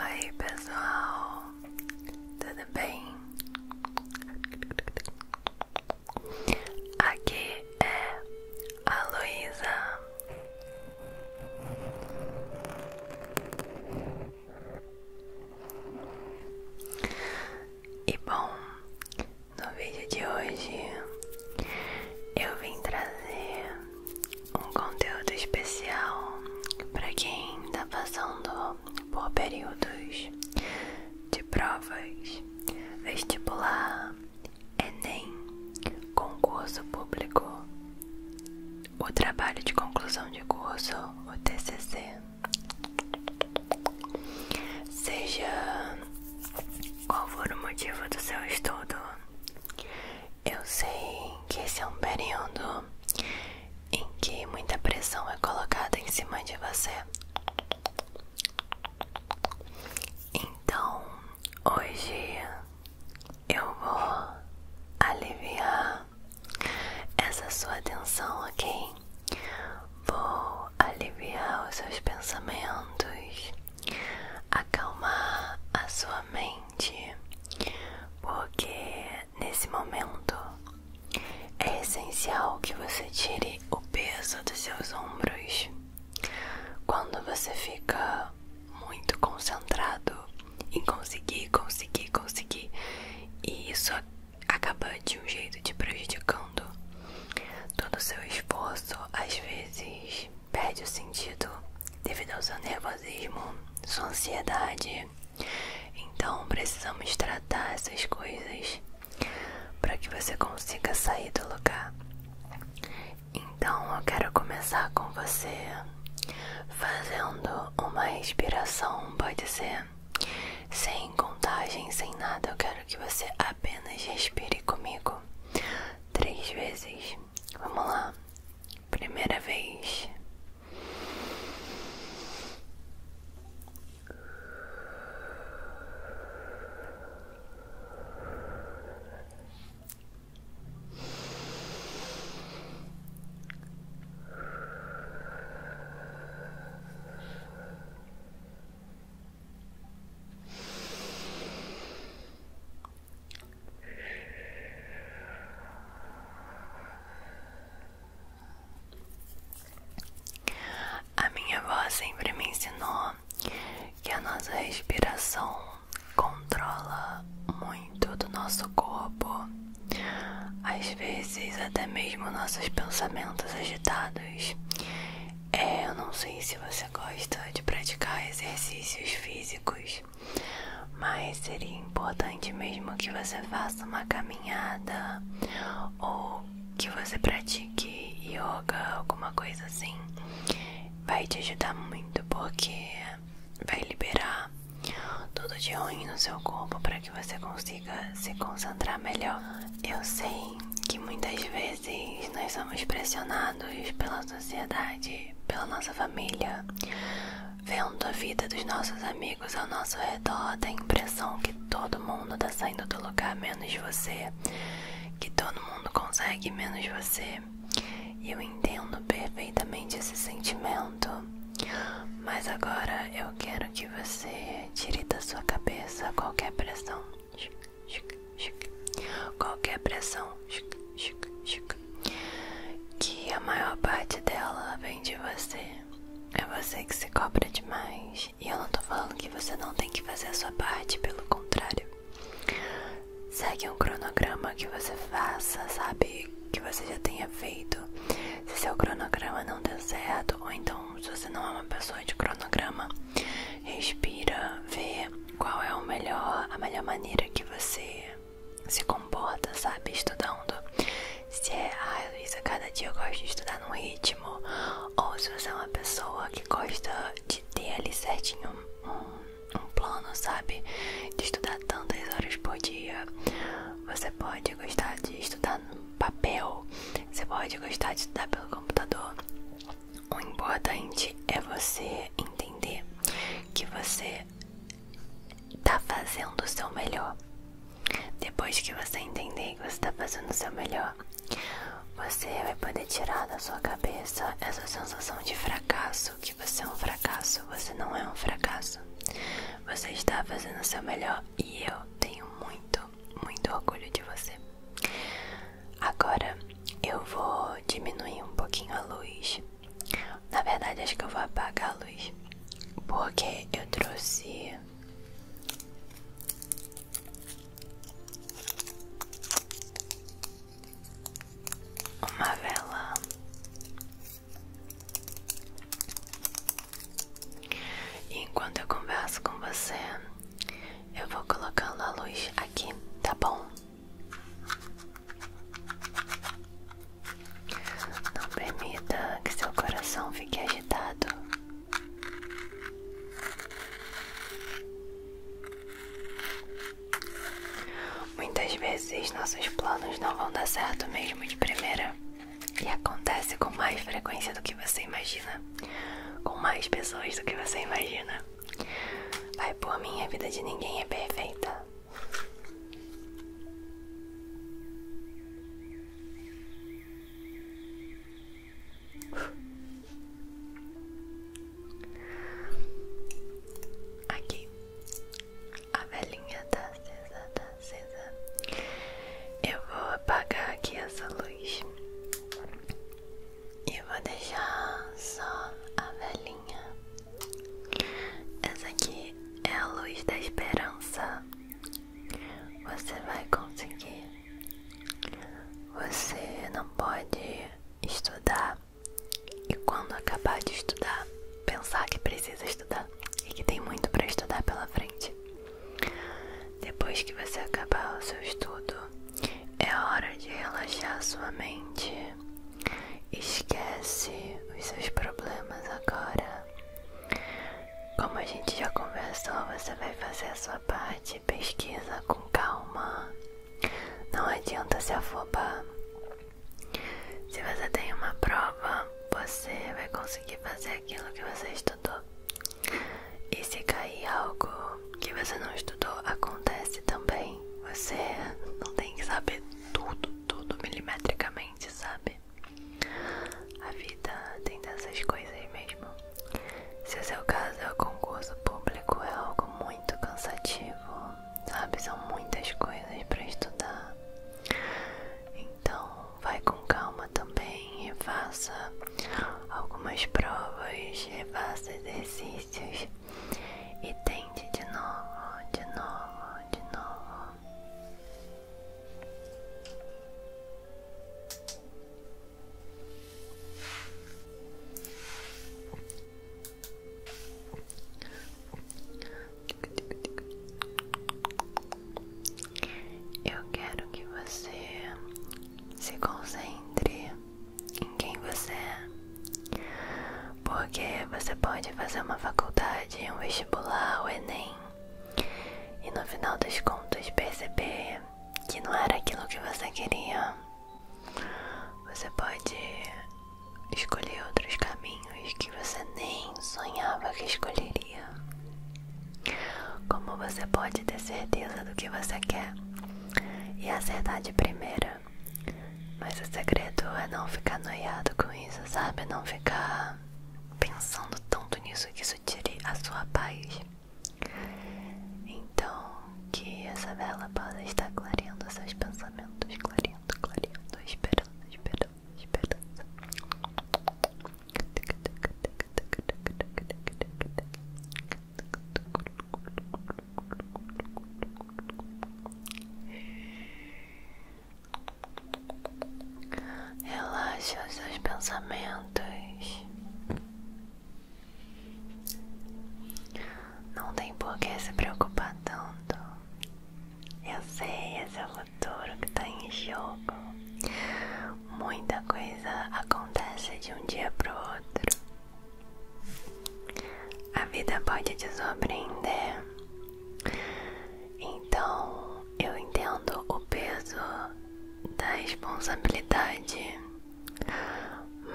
Oi, pessoal, tudo bem? Aqui é a Luísa. E bom, no vídeo de hoje eu vim trazer um conteúdo especial para quem está passando por períodos de provas, vestibular, Enem, concurso público, o trabalho de conclusão de curso, o TCC. Seja qual for o motivo do seu estudo? Eu sei que esse é um período em que muita pressão é colocada em cima de você. Então, hoje eu vou aliviar essa sua atenção, ok? Vou aliviar os seus pensamentos, acalmar a sua mente, porque nesse momento é essencial que você tire o peso dos seus ombros. Quando você fica muito concentrado em conseguir, conseguir, conseguir, e isso acaba de um jeito te prejudicando, Todo seu esforço às vezes perde o sentido devido ao seu nervosismo, sua ansiedade. Então precisamos tratar essas coisas para que você consiga sair do lugar. Então eu quero começar com você fazendo uma respiração, pode ser sem contagem, sem nada. Eu quero que você Apenas respire comigo três vezes. Vamos lá. Primeira vez. A minha voz sempre me ensinou que a nossa respiração controla muito do nosso corpo, às vezes até mesmo nossos pensamentos agitados. É, eu não sei se você gosta de praticar exercícios físicos, mas seria importante mesmo que você faça uma caminhada ou que você pratique yoga, alguma coisa assim. Vai te ajudar muito porque vai liberar tudo o ruim no seu corpo para que você consiga se concentrar melhor. Eu sei que muitas vezes vezes nós somos pressionados pela sociedade, pela nossa família, vendo a vida dos nossos amigos ao nosso redor, dá a impressão que todo mundo está saindo do lugar menos você, que todo mundo consegue menos você. E eu entendo perfeitamente esse sentimento. Mas agora eu quero que você tire da sua cabeça qualquer pressão qualquer pressão que a maior parte dela vem de você. É você que se cobra demais. E eu não tô falando que você não tem que fazer a sua parte, pelo contrário. Segue um cronograma que você faça, sabe? Que você já tenha feito. Se seu cronograma não deu certo, ou então se você não é uma pessoa de cronograma, Respira, vê qual é o melhor, a melhor maneira que você se comporta, sabe? Estudando. Se é, ah, Luísa, cada dia eu gosto de estudar num ritmo. Ou se você é uma pessoa que gosta de ter ali certinho um plano, sabe? De estudar tantas horas por dia. Você pode gostar de estudar no papel. Você pode gostar de estudar pelo computador. O importante é você entender que você está fazendo o seu melhor. Depois que você entender que você está fazendo o seu melhor, você vai poder tirar da sua cabeça essa sensação de fracasso, que você é um fracasso, você não é um fracasso. Você está fazendo o seu melhor e eu tenho muito, muito orgulho de você. Agora eu vou diminuir um pouquinho a luz. Na verdade, acho que eu vou apagar a luz. Porque eu trouxe. Uma vela. E enquanto eu converso com você, eu vou colocando a luz aqui, tá bom? Não permita que seu coração fique agitado. Muitas vezes nossos planos não vão dar certo mesmo de primeira. E acontece com mais frequência do que você imagina, com mais pessoas do que você imagina. Vai por mim, a vida de ninguém é perfeita. Aqui, a velhinha tá acesa, tá acesa. Eu vou apagar aqui essa luz. E vou deixar só a velhinha. Essa aqui é a luz da esperança. Você vai conseguir. Você não pode estudar e quando acabar de estudar, pensar que precisa estudar e que tem muito para estudar pela frente. Depois que você acabar o seu estudo, é hora de relaxar sua mente. Esquece os seus problemas agora. Como a gente já conversou, você vai fazer a sua parte, pesquisa com calma. Não adianta se afobar. Se você tem uma prova, você vai conseguir fazer aquilo que você estudou. E se cair é algo que você não estudou, acontece também. Você não tem que saber tudo, tudo milimetricamente, sabe? A vida tem dessas coisas mesmo. Se o seu caso é o concurso público, é algo muito cansativo, sabe? São muitas coisas para estudar. Então, vai com calma também e faça algumas provas, faça exercícios e tente de novo, de novo, de novo. Eu quero que você se concentre em quem você é. Porque você pode fazer uma faculdade, um vestibular, o Enem, e no final dos contos perceber que não era aquilo que você queria. Você pode escolher outros caminhos que você nem sonhava que escolheria. Como você pode ter certeza do que você quer e essa é a verdade primeira. Mas o segredo é não ficar noiado com isso, sabe? Não ficar pensando tanto nisso que isso tire a sua paz. Então, que essa vela possa estar clareando seus pensamentos, clareando, clareando, esperando, esperando, esperando. Relaxa os seus pensamentos. Não tem por que se preocupar tanto. Eu sei, esse é o futuro que está em jogo. Muita coisa acontece de um dia para o outro. A vida pode te surpreender. Então, eu entendo o peso da responsabilidade,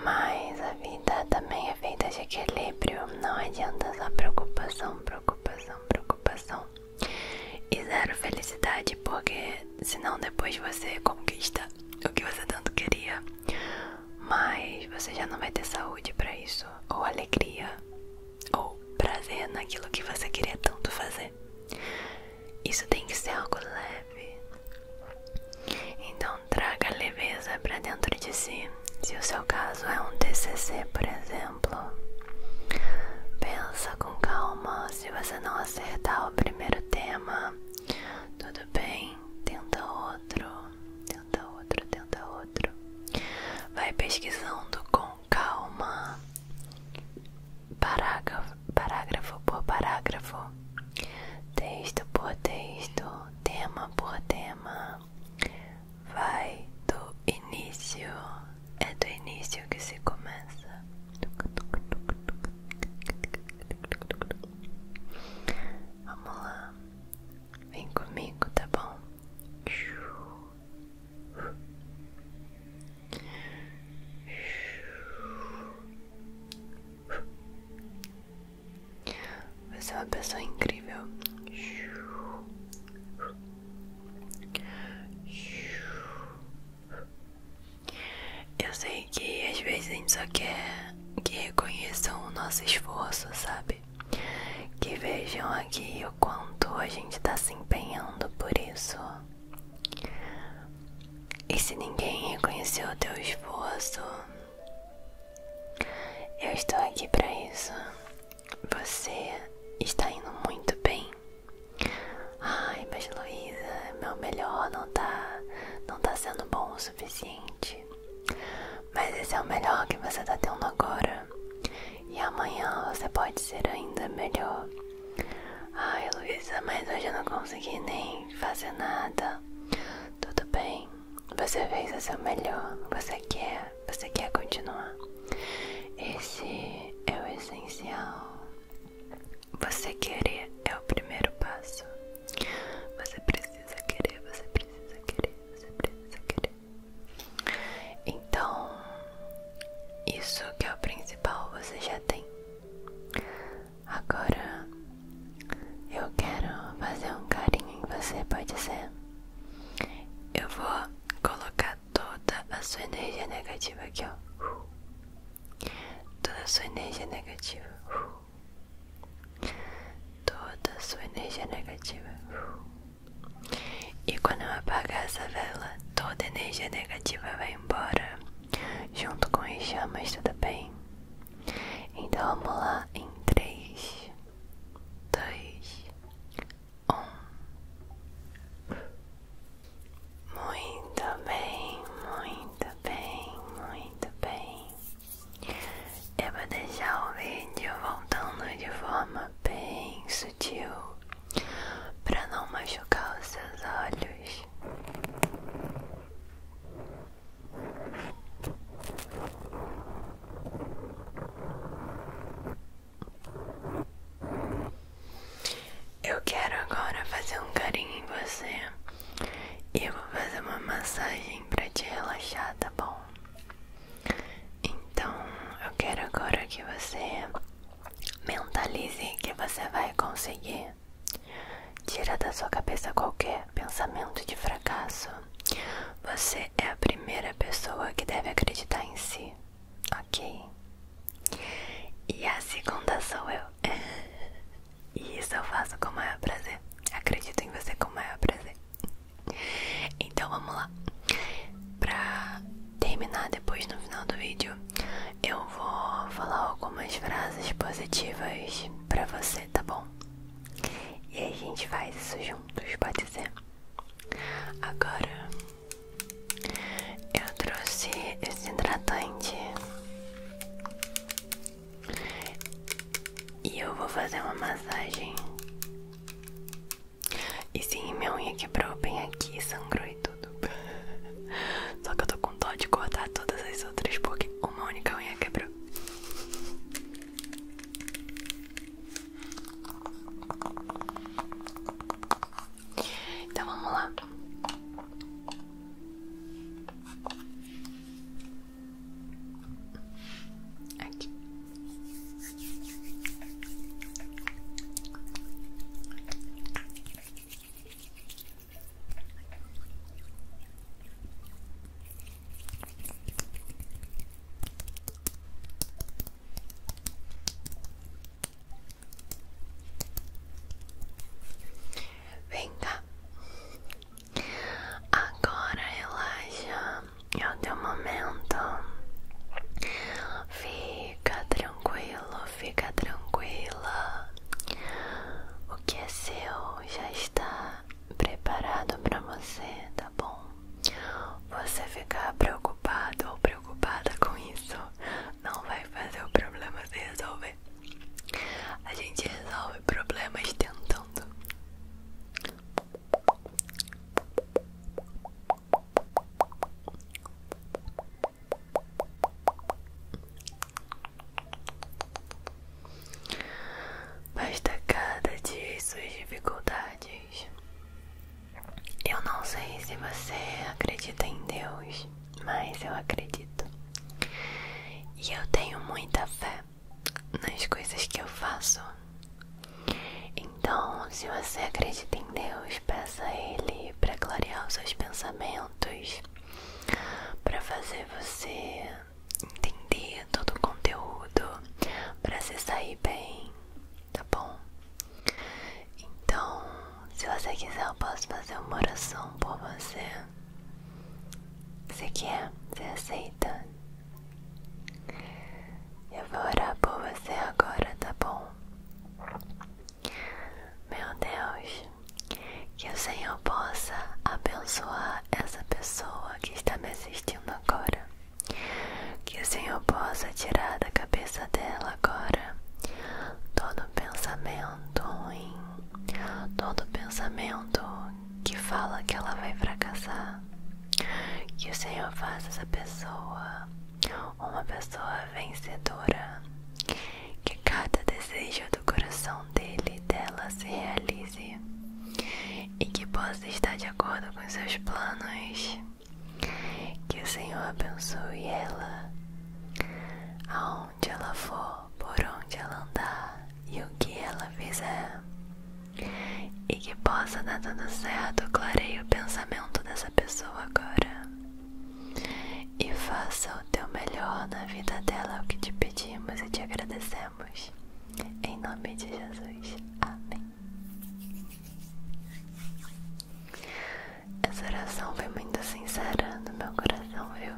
mas a vida também é feita de equilíbrio. Não adianta só preocupação, preocupação, preocupação e zero felicidade, porque senão depois você conquista o que você tanto queria mas você já não vai ter saúde para isso, ou alegria, ou prazer naquilo que você queria tanto fazer. Isso tem que ser algo leve. Então traga leveza para dentro de si. Se o seu caso é um TCC, por exemplo, pensa com calma. Se você não acertar o primeiro tema, tudo bem tenta outro, tenta outro, tenta outro. Vai pesquisando com calma, parágrafo, parágrafo por parágrafo, texto por texto, tema por tema. Vai do início, é do início que se começa. Vamos lá, vem comigo, tá bom? Você é uma pessoa incrível. Eu sei que às vezes a gente só quer que reconheçam o nosso esforço, sabe? Que vejam aqui o quanto a gente tá se empenhando por isso. E se ninguém reconheceu o teu esforço, eu estou aqui para isso. Você está indo muito bem. Ai, mas Luísa, meu melhor não tá, não tá sendo bom suficiente. Mas esse é o melhor que você tá tendo agora. E amanhã você pode ser ainda melhor. Ai, Luísa, mas hoje eu não consegui nem fazer nada. Tudo bem, você fez o seu melhor. Você quer, você quer continuar. Esse é o essencial. Você querer é o primeiro passo. Você precisa querer, você precisa querer, você precisa querer. Então, isso que é o principal você já tem. Agora, eu quero fazer um carinho em você, pode ser? Eu vou colocar toda a sua energia negativa aqui, ó. Toda a sua energia negativa toda sua energia negativa. E quando eu apagar essa vela, toda energia negativa vai embora, junto com as chamas, tudo bem? Então vamos lá em 3, 2, 1. Muito bem, muito bem, muito bem. Eu vou deixar o vídeo voltando de forma bem sutil para não machucar os seus olhos. Eu quero agora fazer um carinho em você e eu vou fazer uma massagem pra te relaxar, tá bom? Então eu quero agora que você mentalize que você vai conseguir. Tira da sua cabeça qualquer pensamento de fracasso. Você é a primeira pessoa que deve acreditar em si, ok? E a segunda sou eu. E isso eu faço com o maior prazer. Acredito em você com o maior prazer. Então vamos lá. Pra terminar depois no final do vídeo, eu vou falar algumas frases positivas pra você, tá bom? E aí a gente faz isso juntos, pode ser? Agora eu trouxe esse hidratante e eu vou fazer uma massagem. E sim, minha unha quebrou bem aqui, sangrou e tudo. Só que eu tô com dó de cortar todas as outras porque uma única unha quebrou. Então vamos lá. Aqui. Vem cá. Agora relaxa, é o teu momento. Fica tranquilo, fica tranquila. O que é seu já está preparado para você, tá bom? Você ficar preocupado ou preocupada com isso não vai fazer o problema se resolver. A gente resolve problemas tentando. Basta cada dia suas dificuldades. Eu não sei se você acredita em Deus, mas eu acredito. E eu tenho muita fé nas coisas que eu faço. Então, se você acredita em Deus, peça a Ele para clarear os seus pensamentos, para fazer você entender todo o conteúdo, para se sair bem, tá bom? Então, se você quiser, eu posso fazer uma oração por você. Você quer? É, você é aceita? Eu vou orar por você agora, tá bom? Meu Deus, que o Senhor possa abençoar essa pessoa que está me assistindo agora. Que o Senhor possa tirar da cabeça dela agora todo pensamento ruim, todo pensamento que fala que ela vai fracassar. Que o Senhor faça essa pessoa uma pessoa vencedora. Que cada desejo do coração dele e dela se realize e que possa estar de acordo com seus planos. Que o Senhor abençoe ela. Aonde onde ela for, por onde ela andar e o que ela fizer. E que possa dar tudo certo, clareie o pensamento dessa pessoa agora. E faça o teu melhor na vida dela, o que te pedimos e te agradecemos. Em nome de Jesus. Amém. Essa oração foi muito sincera no meu coração, viu?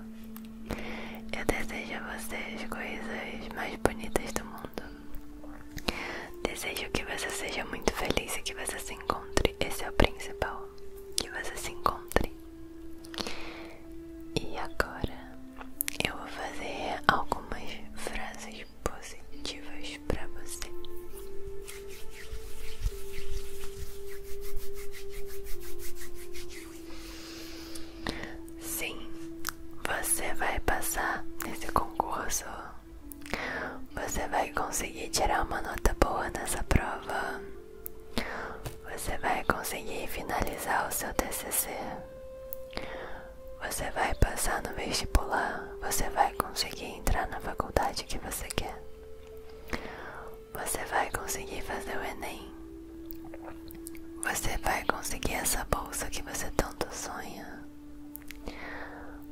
Eu desejo a você as coisas mais bonitas do mundo. Desejo que você seja muito feliz e que você se encontre. Esse é o principal. Que você se encontre. E agora eu vou fazer algumas frases positivas para você. Sim, você vai passar nesse concurso. Você vai conseguir tirar uma nota boa nessa prova. Você vai conseguir finalizar o seu TCC. Você vai passar no vestibular. Você vai conseguir entrar na faculdade que você quer. Você vai conseguir fazer o Enem. Você vai conseguir essa bolsa que você tanto sonha.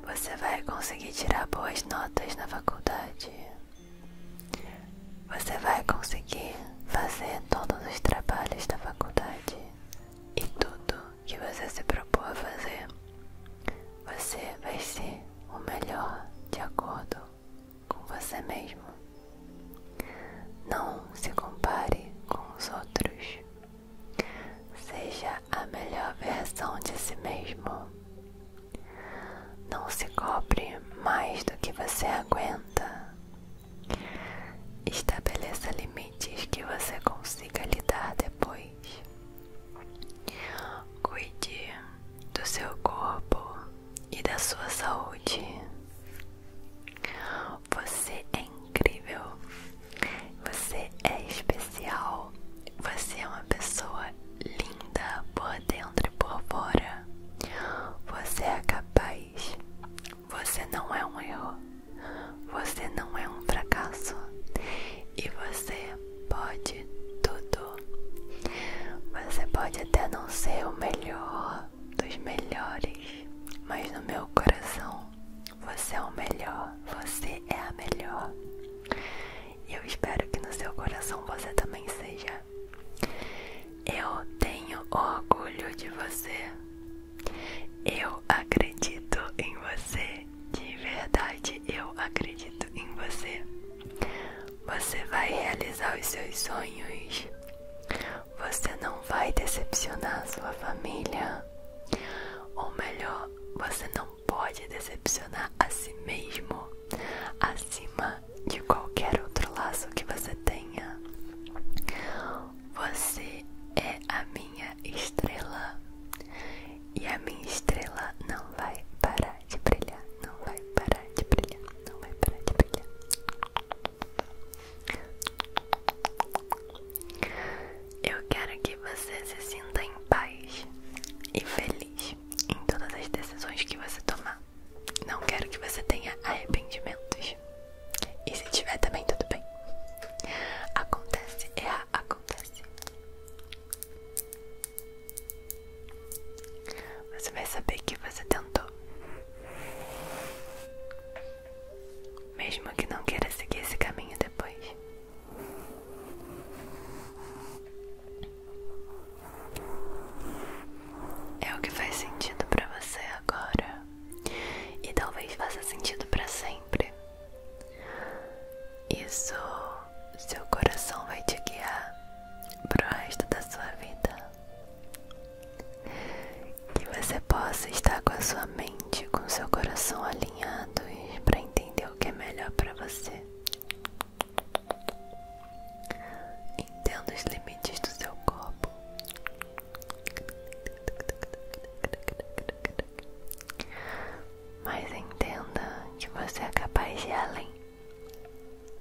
Você vai conseguir tirar boas notas na faculdade. Você vai conseguir fazer todos os trabalhos da faculdade e tudo que você se propôs a fazer. Você vai ser o melhor de acordo com você mesmo. Não se compare com os outros. Seja a melhor versão de si mesmo. Não se cobre mais do que você aguenta. Estabeleça limites que você consiga lidar depois. Cuide do seu corpo e da sua saúde. Você é incrível. Você é especial. Você é uma pessoa linda por dentro e por fora. Você é capaz. Você não é um erro. Você não é um fracasso. E você pode tudo. Você pode até não ser o melhor, dos melhores, mas no meu coração você é o melhor, você é a melhor. eu espero que no seu coração você também seja. Eu tenho orgulho de você. Eu acredito em você. De verdade, eu acredito em você. Você vai realizar os seus sonhos. Você não vai decepcionar sua família. Ou melhor, você não pode decepcionar a si mesmo acima de qualquer outro laço que você tenha. Você é a minha estrela. E a minha estrela não vai parar de brilhar, não vai parar de brilhar, não vai parar de brilhar. Eu quero que você se sinta em paz e feliz em todas as decisões que você tomar. Não quero que você tenha arrependimentos. E se tiver também, tudo bem. Acontece, errar, acontece. Você vai saber que você tentou mesmo que não queira seguir esse caminho depois. É o que faz sentido para você agora. E talvez faça sentido para sempre. Isso seu coração vai te guiar pro resto da sua vida. Que você possa estar com a sua mente, com o seu coração alinhados para entender o que é melhor para você. Entenda os limites do seu corpo. Mas entenda que você é capaz de ir além.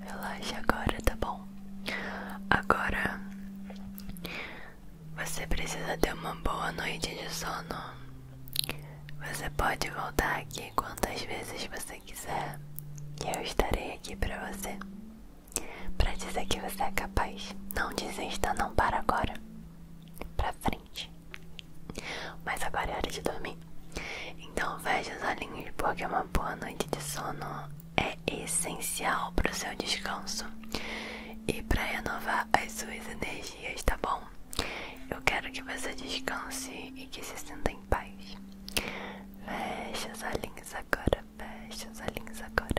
Relaxa agora, tá bom? Agora você precisa ter uma boa noite de sono. Você pode voltar aqui quantas vezes você quiser, que eu estarei aqui pra você. Pra dizer que você é capaz. Não desista, não para agora. Pra frente. Mas agora é hora de dormir. Então feche os olhinhos porque uma boa noite de sono é essencial para o seu descanso e para renovar as suas energias, tá bom? Eu quero que você descanse e que se sinta em paz. Feche os olhinhos agora, feche os olhinhos agora.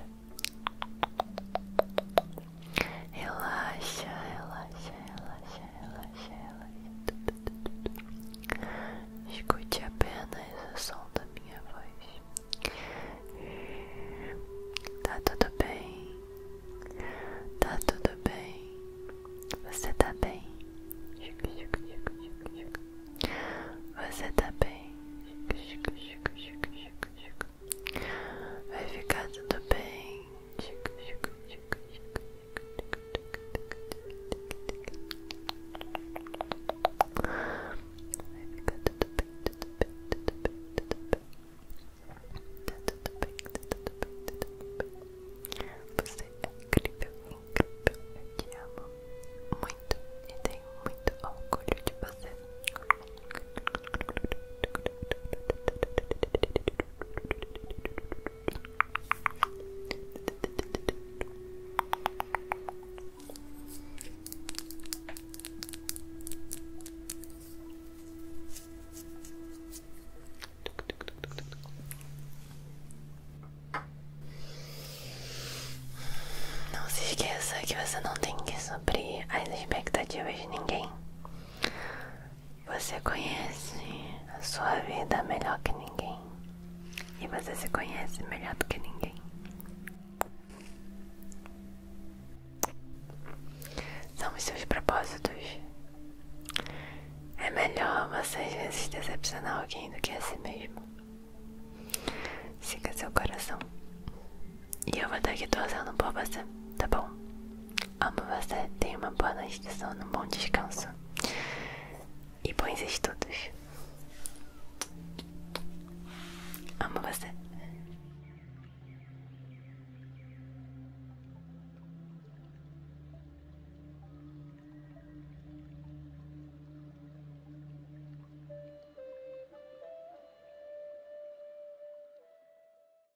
Relaxa, relaxa, relaxa, relaxa, relaxa. Escute apenas o som da minha voz. Tá tudo bem? Tá tudo bem? Você tá bem? Você tá bem? Vai ficar tudo bem. Vai ficar tudo bem, tudo bem, tudo bem, tudo bem. tudo bem, tudo bem. Você é incrível, incrível. Eu te amo muito e tenho muito orgulho de você. Não se esqueça que você não tem que suprir as expectativas de ninguém. Você conhece a sua vida melhor que ninguém. E você se conhece melhor do que ninguém. São os seus propósitos. É melhor você às vezes decepcionar alguém do que a si mesmo. Siga seu coração. E eu vou estar aqui torcendo por você, tá bom? Amo você, tenha uma boa noite de sono, um bom descanso e bons estudos. Amo você.